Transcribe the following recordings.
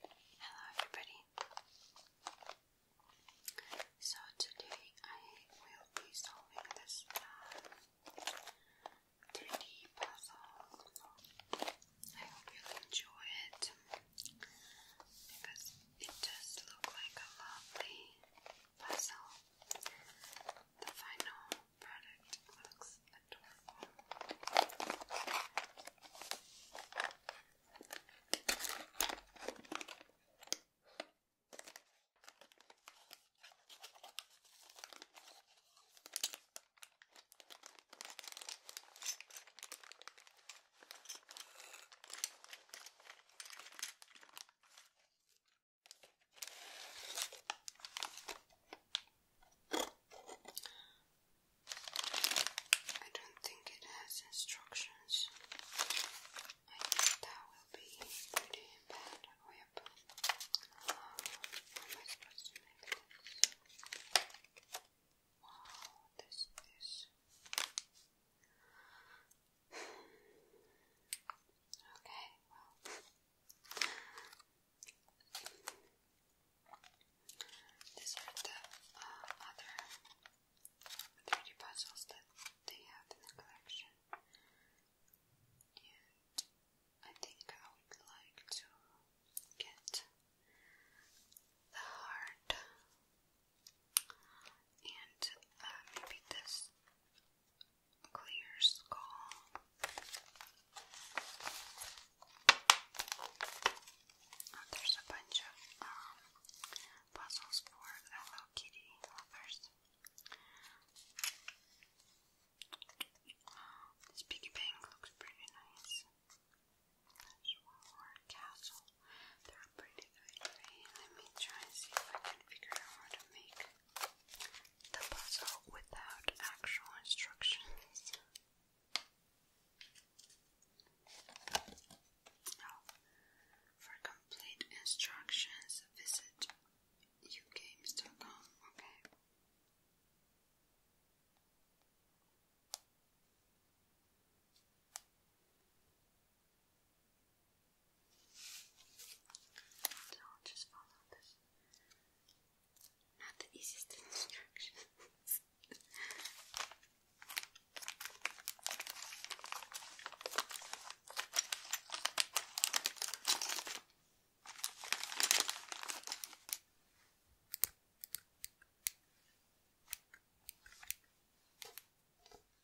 Hello everybody. So today I will be solving this 3D uh, puzzle. I hope you enjoy it because it does look like a lovely vessel. The final product looks adorable. I don't think it has instructions. I think that will be pretty bad. Oh, yep. how am I supposed to make this? Wow, this is. Okay, well, these are the uh, other 3 puzzles that they have in the collection, I think I would like to get the heart and uh, maybe this clear skull. Oh, there's a bunch of um, puzzles for Hello Kitty lovers. This piggy bank looks pretty nice. castle. Let me try and see if I can figure out how to make the puzzle without actual instructions. Oh, for complete instructions, visit ugames.com. Okay. So I'll just follow this. Not the easiest instructions.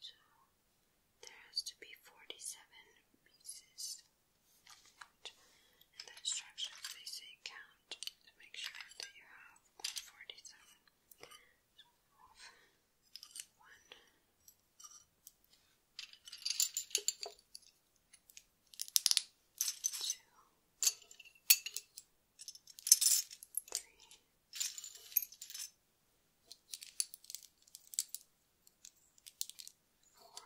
So there has to be 47 pieces. And the instructions they say count to make sure that you have 47. one, two, three, four,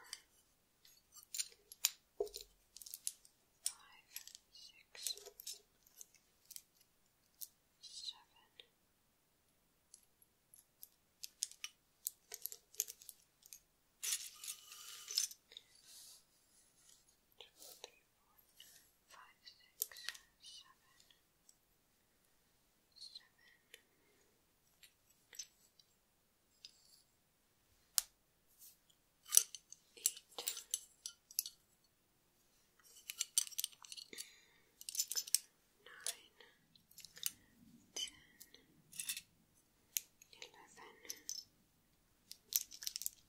five, six, seven. Twelve five, six, seven, seven. Eight. Nine, ten, eleven,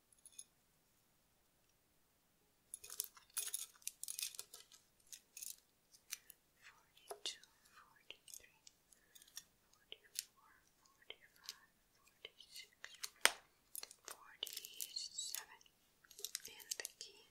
Forty-two, forty-three, forty-four, forty-five, forty-six, forty-seven, and the key.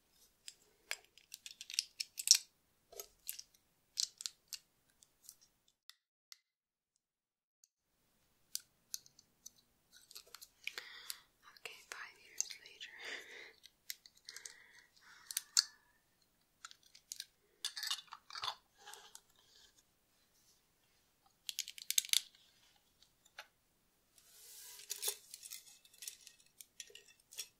Okay, five years later.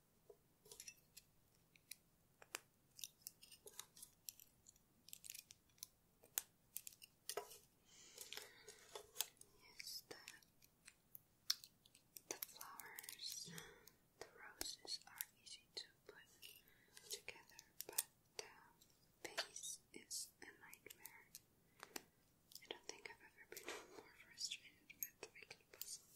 Yes, the, the flowers, the roses are easy to put together, but the base is a nightmare. I don't think I've ever been more frustrated with making puzzles.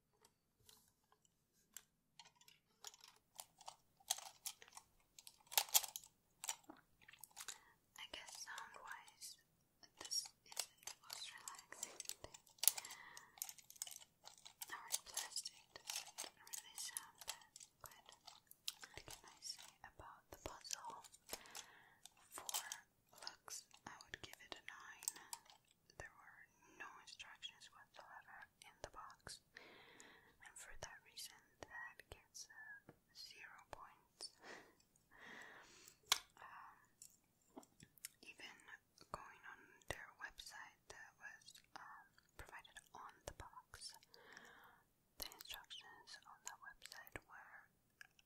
I guess sound wise, this is the most relaxing Our plastic really sound good. What can I say about the puzzle? For looks, I would give it a 9 there were no instructions whatsoever in the box, and for that reason, that gets uh, zero points. Um, even going on their website that was um, provided on the box, the instructions on that website were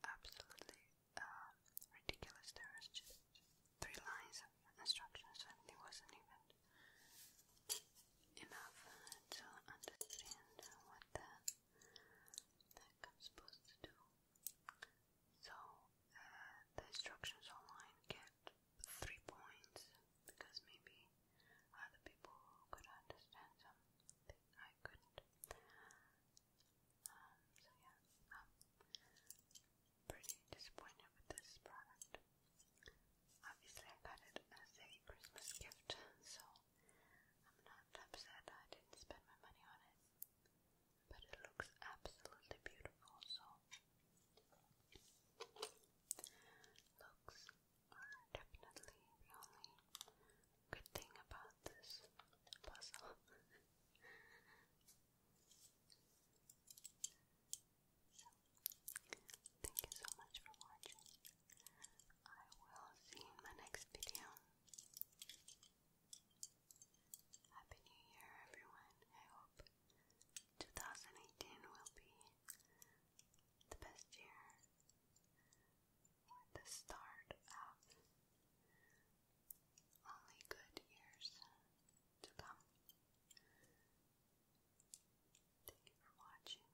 absolutely um, ridiculous. There was just three lines of instructions, and it wasn't even enough uh, to understand what I'm supposed to do. So uh, the instructions online get three points because maybe other people could understand them. I couldn't. Um, so yeah, I'm pretty disappointed with this product. Obviously I got it as a Christmas gift, so I'm not upset I didn't spend my money on it. But it looks absolutely beautiful, so looks are definitely the only good thing about this puzzle. thank you so much for watching. I will see you in my next video. Happy New Year, everyone. I hope 2018 will be the best year. The start of only good years to come. Thank you for watching.